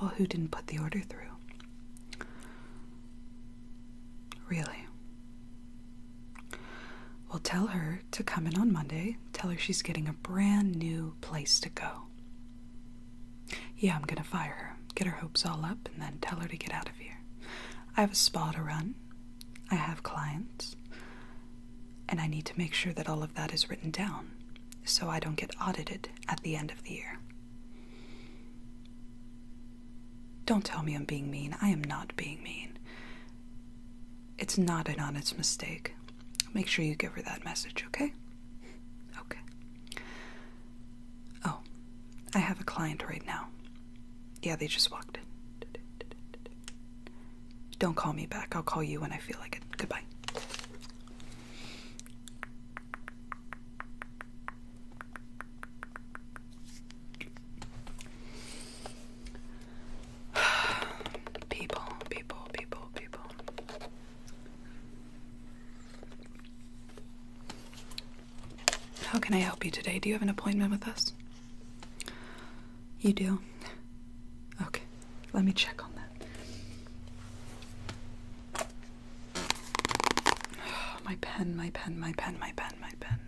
Well, who didn't put the order through? Really? Well, tell her to come in on Monday. Tell her she's getting a brand new place to go. Yeah, I'm gonna fire her, get her hopes all up, and then tell her to get out of here. I have a spa to run, I have clients and I need to make sure that all of that is written down so I don't get audited at the end of the year. Don't tell me I'm being mean. I am not being mean. It's not an honest mistake. Make sure you give her that message, okay? Okay. Oh, I have a client right now. Yeah, they just walked in. Don't call me back. I'll call you when I feel like it. Goodbye. people, people, people, people. How can I help you today? Do you have an appointment with us? You do? Okay, let me check on that. my pen, my pen, my pen, my pen, my pen.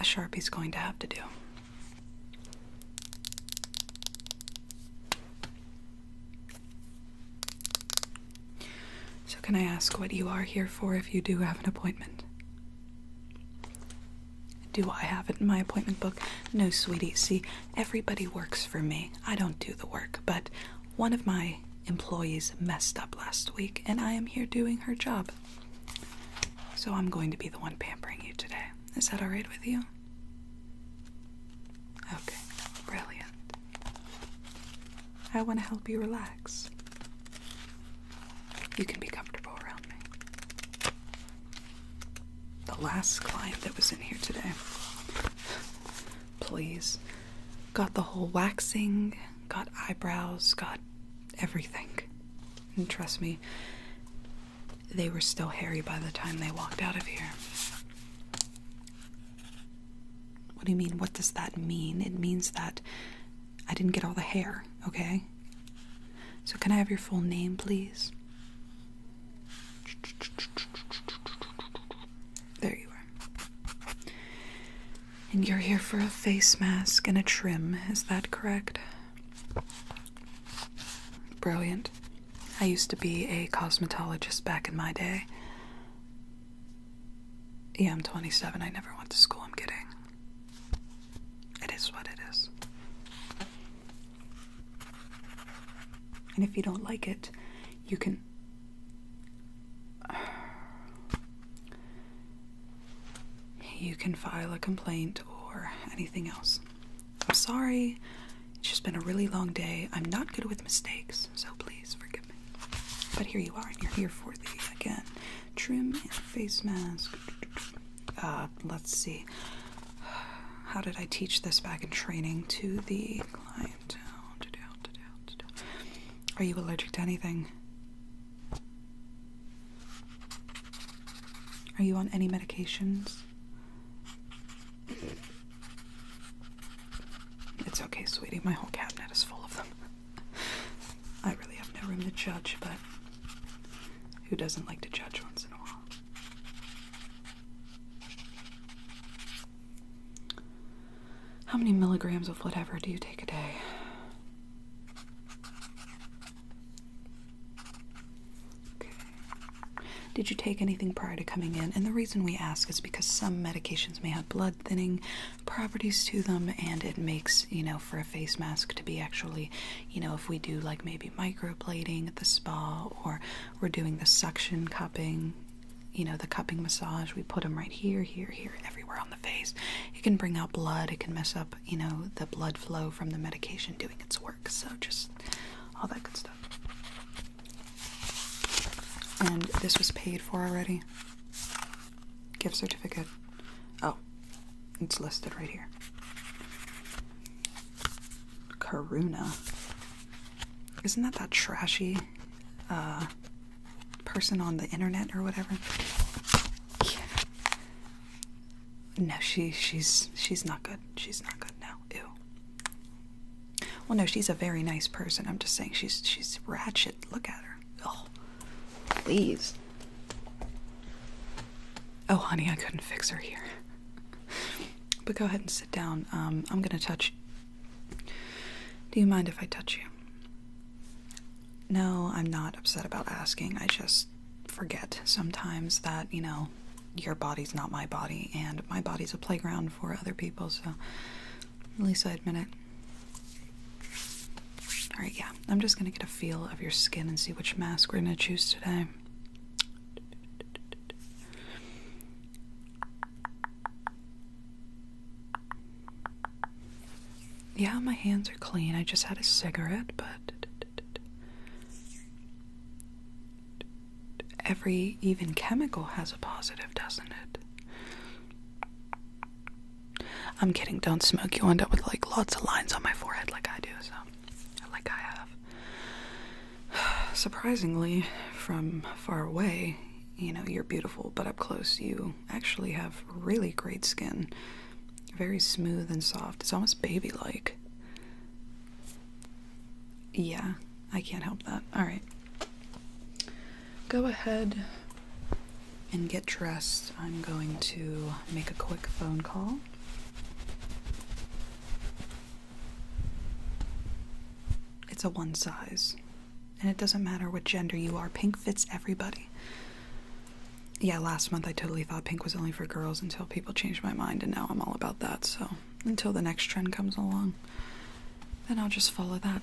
A sharpie's going to have to do. So, can I ask what you are here for if you do have an appointment? Do I have it in my appointment book? No, sweetie. See, everybody works for me. I don't do the work, but one of my employees messed up last week, and I am here doing her job. So I'm going to be the one pampering you today. Is that alright with you? Okay, brilliant. I want to help you relax. You can be comfortable around me. The last client that was in here today, please, got the whole waxing, got eyebrows, got everything. And trust me, they were still hairy by the time they walked out of here. What do you mean? What does that mean? It means that I didn't get all the hair, okay? So, can I have your full name, please? There you are. And you're here for a face mask and a trim, is that correct? Brilliant. I used to be a cosmetologist back in my day. Yeah, I'm 27. I never went to school, I'm kidding. It is what it is. And if you don't like it, you can. You can file a complaint or anything else. I'm sorry, it's just been a really long day. I'm not good with mistakes, so please forgive me. But here you are, and you're here for the, again, trim and face mask. Uh, let's see, how did I teach this back in training to the client? Are you allergic to anything? Are you on any medications? It's okay, sweetie. My whole cabinet is full of them. I really have no room to judge, but who doesn't like to judge once in a while. How many milligrams of whatever do you take a day? Okay. Did you take anything prior to coming in? And the reason we ask is because some medications may have blood thinning properties to them and it makes, you know, for a face mask to be actually, you know, if we do like maybe microplating at the spa or we're doing the suction cupping, you know, the cupping massage, we put them right here, here, here, everywhere on the face. It can bring out blood, it can mess up, you know, the blood flow from the medication doing its work. So just all that good stuff. And this was paid for already gift certificate. Oh, it's listed right here. Karuna. Isn't that that trashy uh, person on the internet or whatever? No, she she's she's not good. She's not good now. Ew. Well, no, she's a very nice person. I'm just saying she's she's ratchet. Look at her. Oh. Please. Oh, honey, I couldn't fix her here. but go ahead and sit down. Um, I'm gonna touch. Do you mind if I touch you? No, I'm not upset about asking. I just forget sometimes that, you know, your body's not my body, and my body's a playground for other people, so at least I admit it. Alright, yeah, I'm just gonna get a feel of your skin and see which mask we're gonna choose today. Yeah, my hands are clean. I just had a cigarette, but every even chemical has a positive, doesn't it? I'm kidding, don't smoke. You'll end up with like lots of lines on my forehead like I do, so like I have. Surprisingly, from far away, you know, you're beautiful, but up close you actually have really great skin. Very smooth and soft. It's almost baby like. Yeah, I can't help that. Alright. Go ahead, and get dressed, I'm going to make a quick phone call. It's a one size, and it doesn't matter what gender you are, pink fits everybody. Yeah, last month I totally thought pink was only for girls until people changed my mind, and now I'm all about that. So, until the next trend comes along, then I'll just follow that.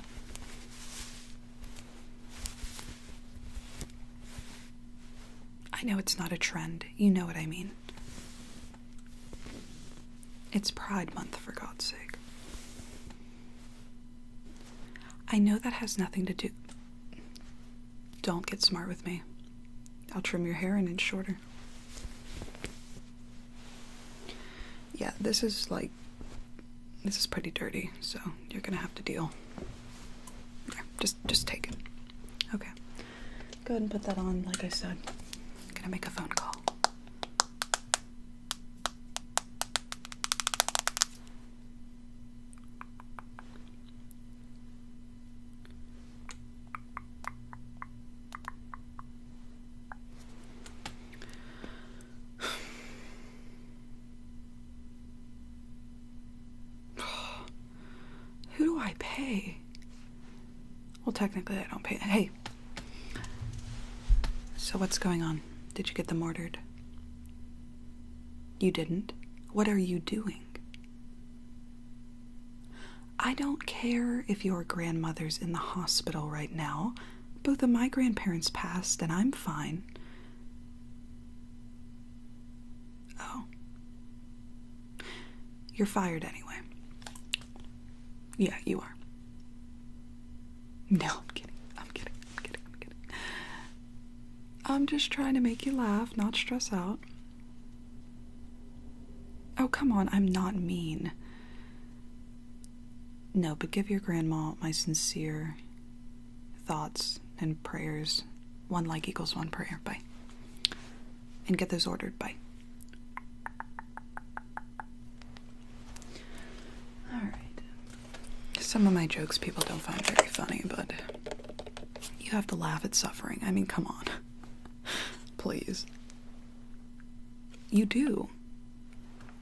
I know it's not a trend. You know what I mean. It's Pride Month, for God's sake. I know that has nothing to do. Don't get smart with me. I'll trim your hair an inch shorter. Yeah, this is like this is pretty dirty, so you're gonna have to deal. just just take it. Okay. Go ahead and put that on, like I said. gonna make a phone call. Who do I pay? Well, technically, I don't pay. Hey. So, what's going on? Did you get them ordered? You didn't? What are you doing? I don't care if your grandmother's in the hospital right now. Both of my grandparents passed, and I'm fine. Oh. You're fired anyway. Yeah, you are. No, I'm kidding. I'm kidding. I'm kidding. I'm kidding. I'm just trying to make you laugh, not stress out. Oh, come on. I'm not mean. No, but give your grandma my sincere thoughts and prayers. One like equals one prayer by. And get those ordered by. Alright. Some of my jokes people don't find very funny, but you have to laugh at suffering. I mean, come on. Please. You do.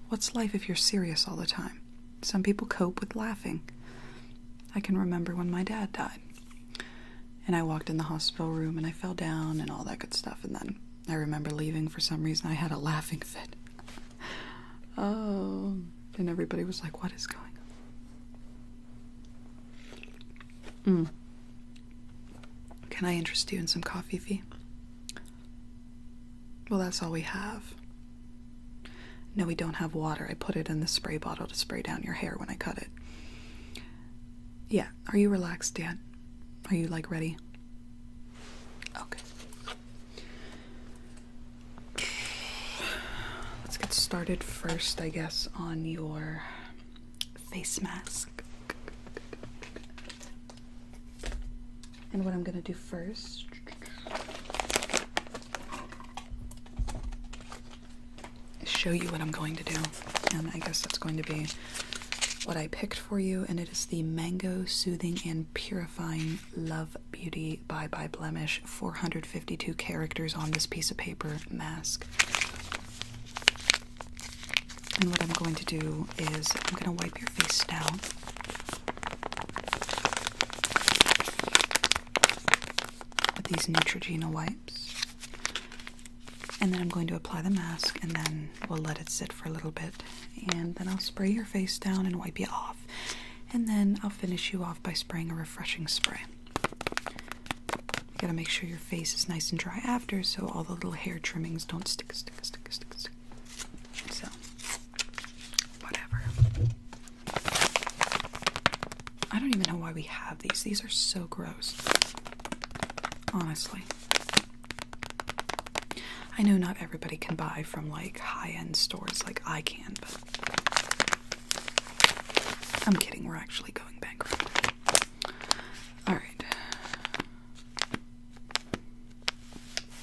What's life if you're serious all the time? Some people cope with laughing. I can remember when my dad died. And I walked in the hospital room and I fell down and all that good stuff. And then I remember leaving for some reason. I had a laughing fit. oh. And everybody was like, what is going on? Mm. Can I interest you in some coffee, Fee? Well, that's all we have. No, we don't have water. I put it in the spray bottle to spray down your hair when I cut it. Yeah, are you relaxed, yet? Are you like ready? Okay. Let's get started first, I guess, on your face mask. And what I'm going to do first is show you what I'm going to do. And I guess that's going to be what I picked for you. And it is the Mango Soothing and Purifying Love Beauty by Bye Blemish 452 characters on this piece of paper mask. And what I'm going to do is I'm going to wipe your face down with these Neutrogena wipes. And then I'm going to apply the mask and then we'll let it sit for a little bit. And then I'll spray your face down and wipe you off. And then I'll finish you off by spraying a refreshing spray. You gotta make sure your face is nice and dry after so all the little hair trimmings don't stick. So, whatever. I don't even know why we have these. These are so gross. Honestly. I know not everybody can buy from like high end stores like I can, but. I'm kidding, we're actually going bankrupt. Alright.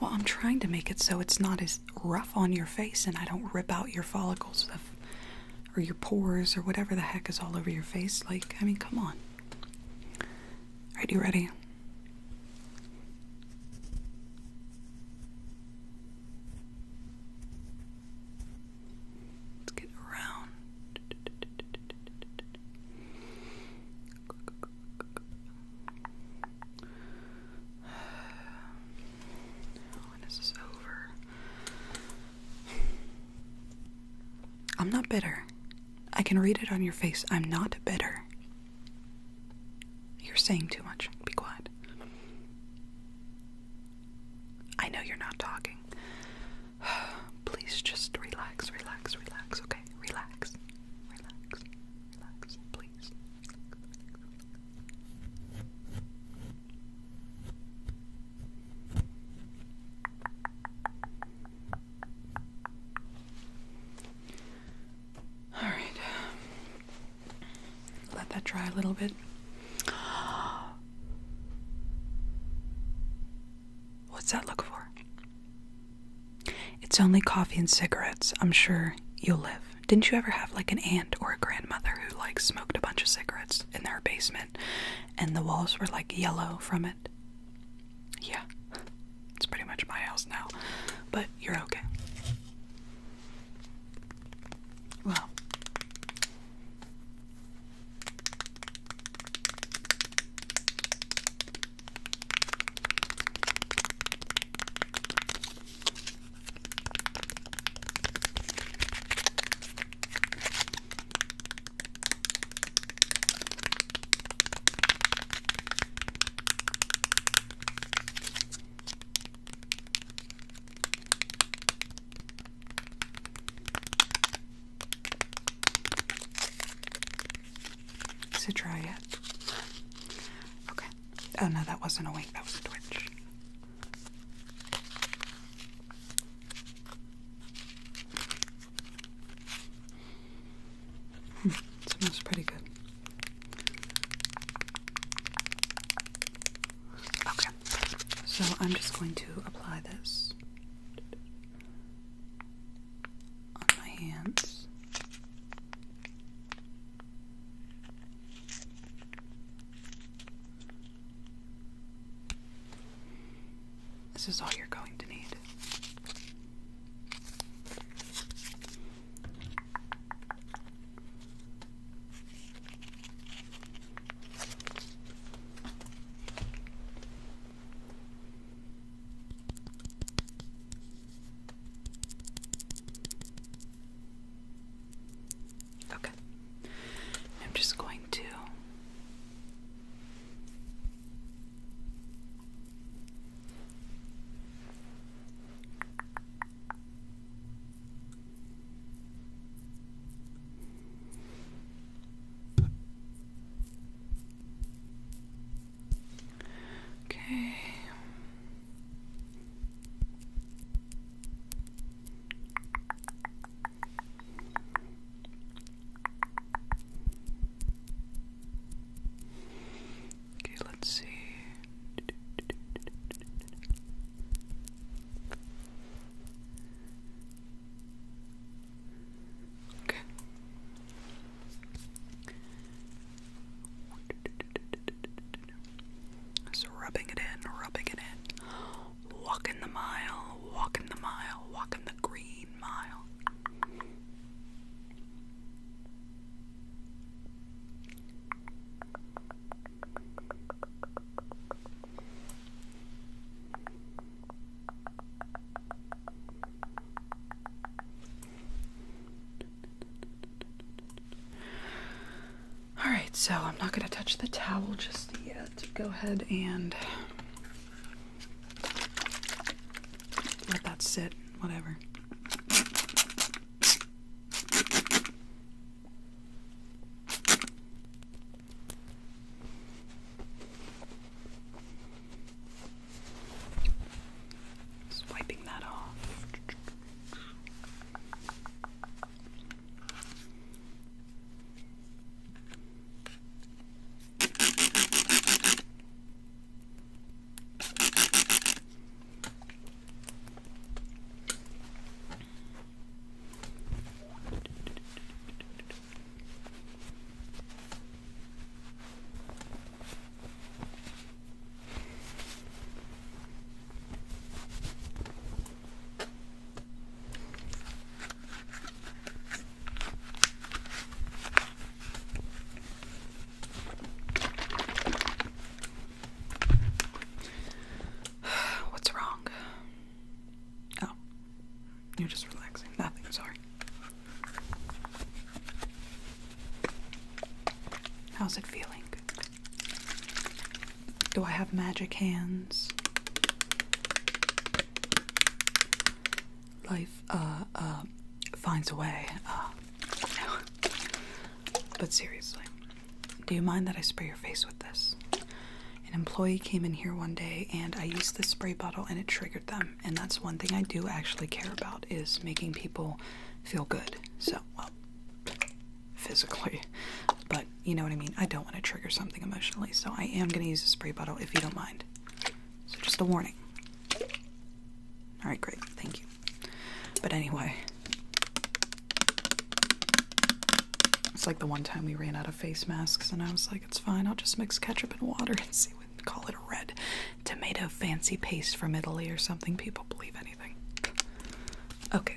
Well, I'm trying to make it so it's not as rough on your face and I don't rip out your follicles or your pores or whatever the heck is all over your face. Like, I mean, come on. Alright, you ready? Let's get around. When is this over? I'm not bitter. I can read it on your face. I'm not bitter. You're saying too much. Be quiet. I know you're not talking. Please just relax, relax, relax, okay? Relax. Relax. Relax, please. All right. Let that dry a little bit. What's that look for? It's only coffee and cigarettes. I'm sure you'll live. Didn't you ever have like an aunt or a grandmother who like smoked a bunch of cigarettes in their basement and the walls were like yellow from it? Yeah. It's pretty much my house now. But you're okay. Well, so try it. Okay. Oh no, that wasn't a wink, that was a twitch. Hmm, it smells pretty good. Okay, so I'm just going to apply this on my hands. This is all you're going to need. Okay. I'm just going to Okay. Okay, let's see. Okay. Just rubbing it in, rubbing it in. Walking the mile, walking the mile, walking the green mile. Alright, so I'm not going to touch the towel just yet. Go ahead and let that sit, whatever. Just wiping that off. What's wrong? Oh, you're just relaxing. Nothing, sorry. How's it feeling? Do I have magic hands? Life uh uh finds a way. Uh, no. But seriously, do you mind that I spray your face with this? An employee came in here one day and I used the spray bottle and it triggered them. And that's one thing I do actually care about is making people feel good. So, well, physically, but you know what I mean? I don't want to trigger something emotionally. So, I am going to use a spray bottle if you don't mind. So, just a warning. All right, great. Thank you. But anyway, it's like the one time we ran out of face masks, and I was like, it's fine, I'll just mix ketchup and water and see what call it a red tomato fancy paste from Italy or something. People believe anything. Okay.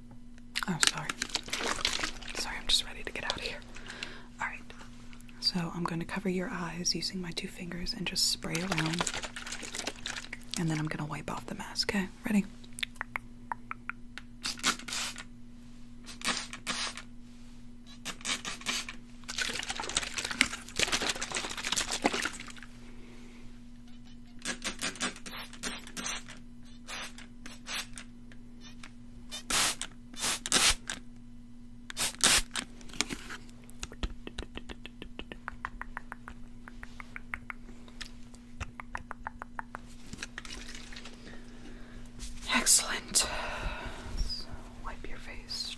Oh, sorry. Sorry, I'm just ready to get out of here. Alright, so I'm going to cover your eyes using my two fingers and just spray around. And then I'm going to wipe off the mask. Okay, ready? Excellent. wipe your face.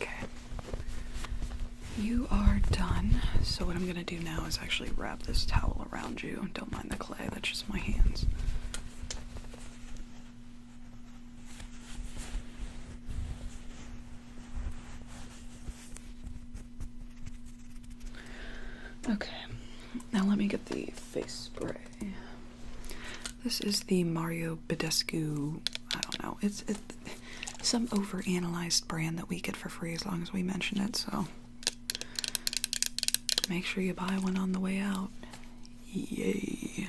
Okay. You are done. So, what I'm going to do now is actually wrap this towel around you. Don't mind the clay, that's just my hands. Okay, now let me get the face spray. This is the Mario Badescu. I don't know. It's, it's some overanalyzed brand that we get for free as long as we mention it. So make sure you buy one on the way out. Yay.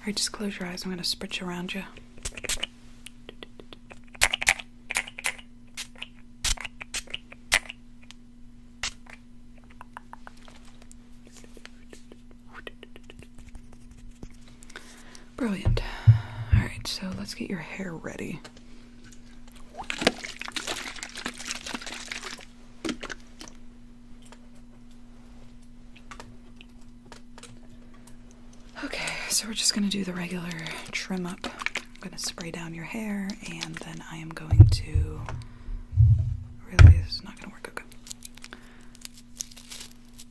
All right, just close your eyes. I'm going to spritz around you. Brilliant. All right, so let's get your hair ready. Okay, so we're just going to do the regular trim up. I'm going to spray down your hair and then I am going to. Really, this not going to work. Okay.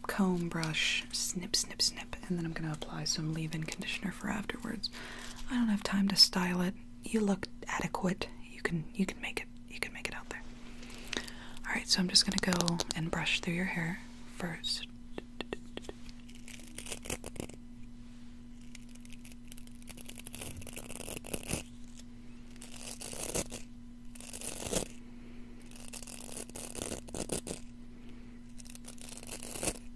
Comb, brush, snip, snip, snip, and then I'm going to apply some leave in conditioner afterwards. I don't have time to style it. You look adequate. You can you can make it you can make it out there. All right, so I'm just gonna go and brush through your hair first.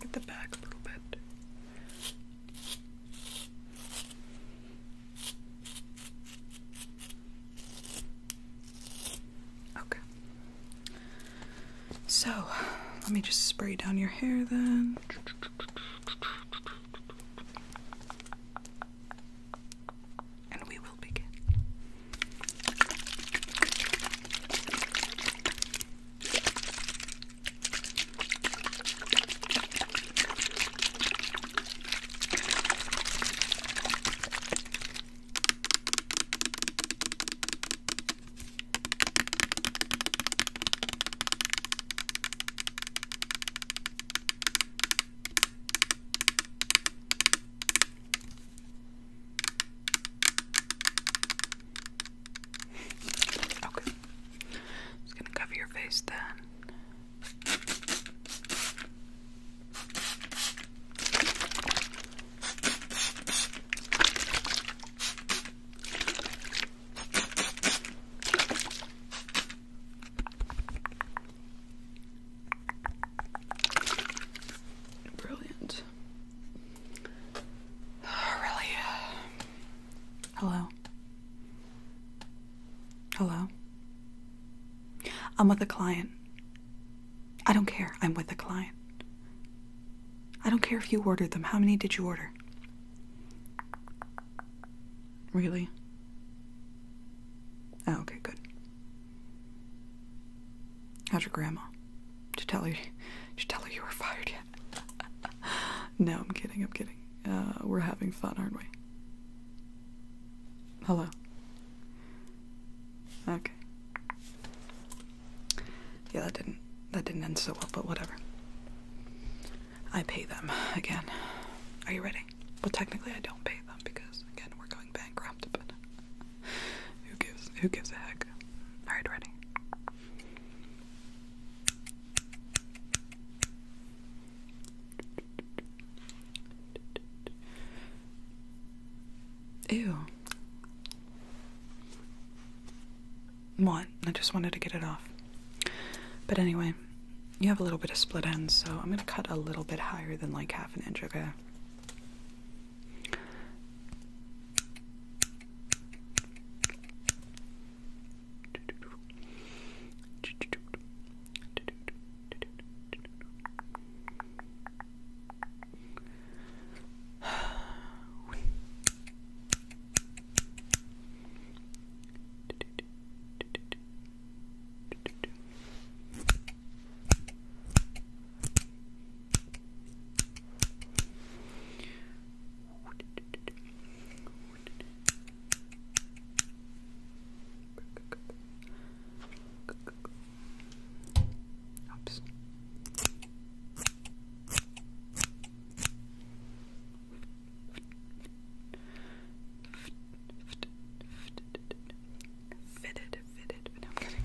Get the back a little bit. Okay. So, let me just spray down your hair then. And we will begin. Okay. Just gonna cover your face then. Brilliant. really? Hello. Hello. I'm with a client. I don't care. I'm with a client. I don't care if you ordered them. How many did you order? Really? Oh, okay, good. How's your grandma? Did you tell her? Did you tell her you were fired yet? no, I'm kidding. I'm kidding. Uh, we're having fun, aren't we? Hello. Okay. Yeah, that didn't that didn't end so well, but whatever. I pay them again. Are you ready? Well, technically, I don't pay them because again, we're going bankrupt. But who gives? Who gives a heck? All right, ready. Ew. What? I just wanted to get it off. But anyway, you have a little bit of split ends, so I'm going to cut a little bit higher than like half an inch, okay? Oops. We've Fitted, fitted, but no, I'm kidding.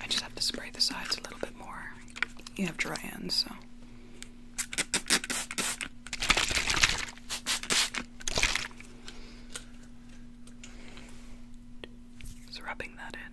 I just have to spray the sides a little bit more. You have dry ends, so. Just rubbing that in.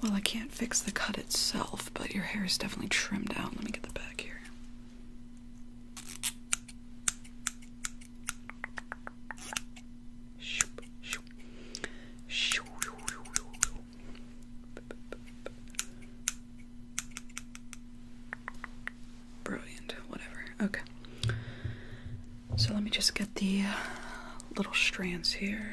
Well, I can't fix the cut itself, but your hair is definitely trimmed out. Let me get the back here. Brilliant, whatever. Okay. So let me just get the uh, little strands here.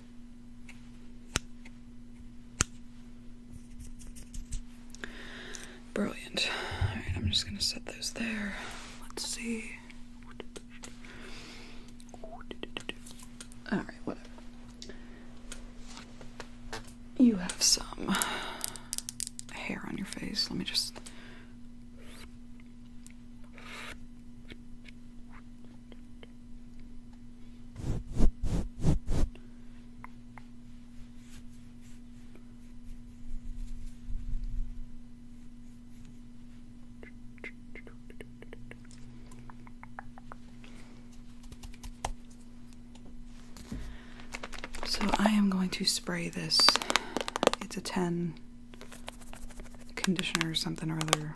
Brilliant. Alright, I'm just gonna set those there. Let's see. Alright, whatever. You have some hair on your face. Let me just. So I am going to spray this. It's a 10 conditioner or something or other.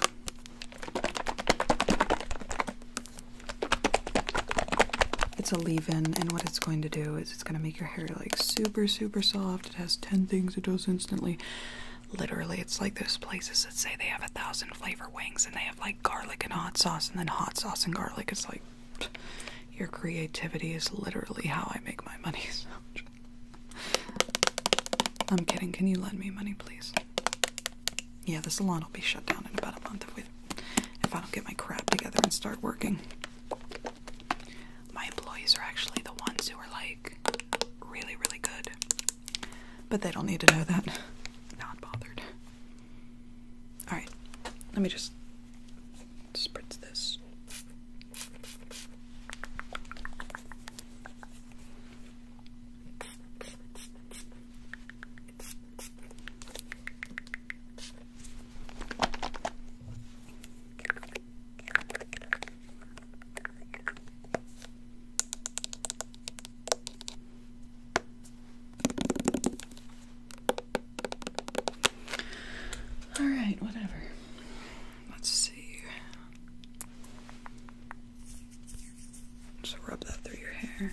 It's a leave-in, and what it's going to do is it's going to make your hair like super, super soft. It has 10 things it does instantly. Literally, it's like those places that say they have a thousand flavor wings and they have like garlic and hot sauce and then hot sauce and garlic. is like your creativity is literally how I make my money. I'm kidding. Can you lend me money, please? Yeah, the salon will be shut down in about a month if we if I don't get my crap together and start working. My employees are actually the ones who are like really, really good. But they don't need to know that. Not bothered. Alright, let me just spritz this. All right, whatever. Let's see. Just rub that through your hair.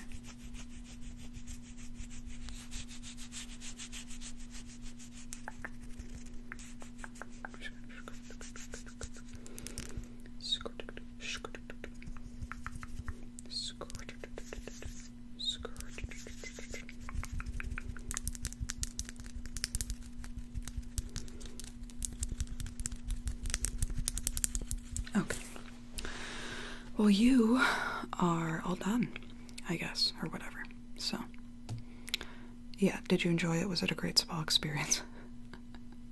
Okay. Well, you are all done, I guess, or whatever. So, yeah, did you enjoy it? Was it a great spa experience?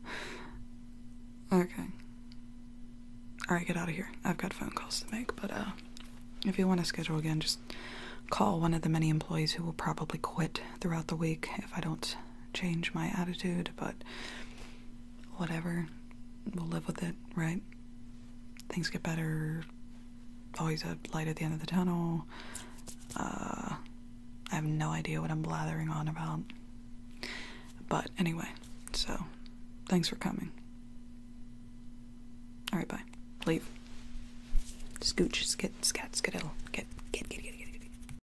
okay. Alright, get out of here. I've got phone calls to make, but uh, if you want to schedule again, just call one of the many employees who will probably quit throughout the week if I don't change my attitude, but whatever. We'll live with it, right? Things get better. Always a light at the end of the tunnel. Uh, I have no idea what I'm blathering on about. But anyway, so thanks for coming. Alright, bye. Leave. Scooch, skit, scat, skittle, get, get, get, get, get.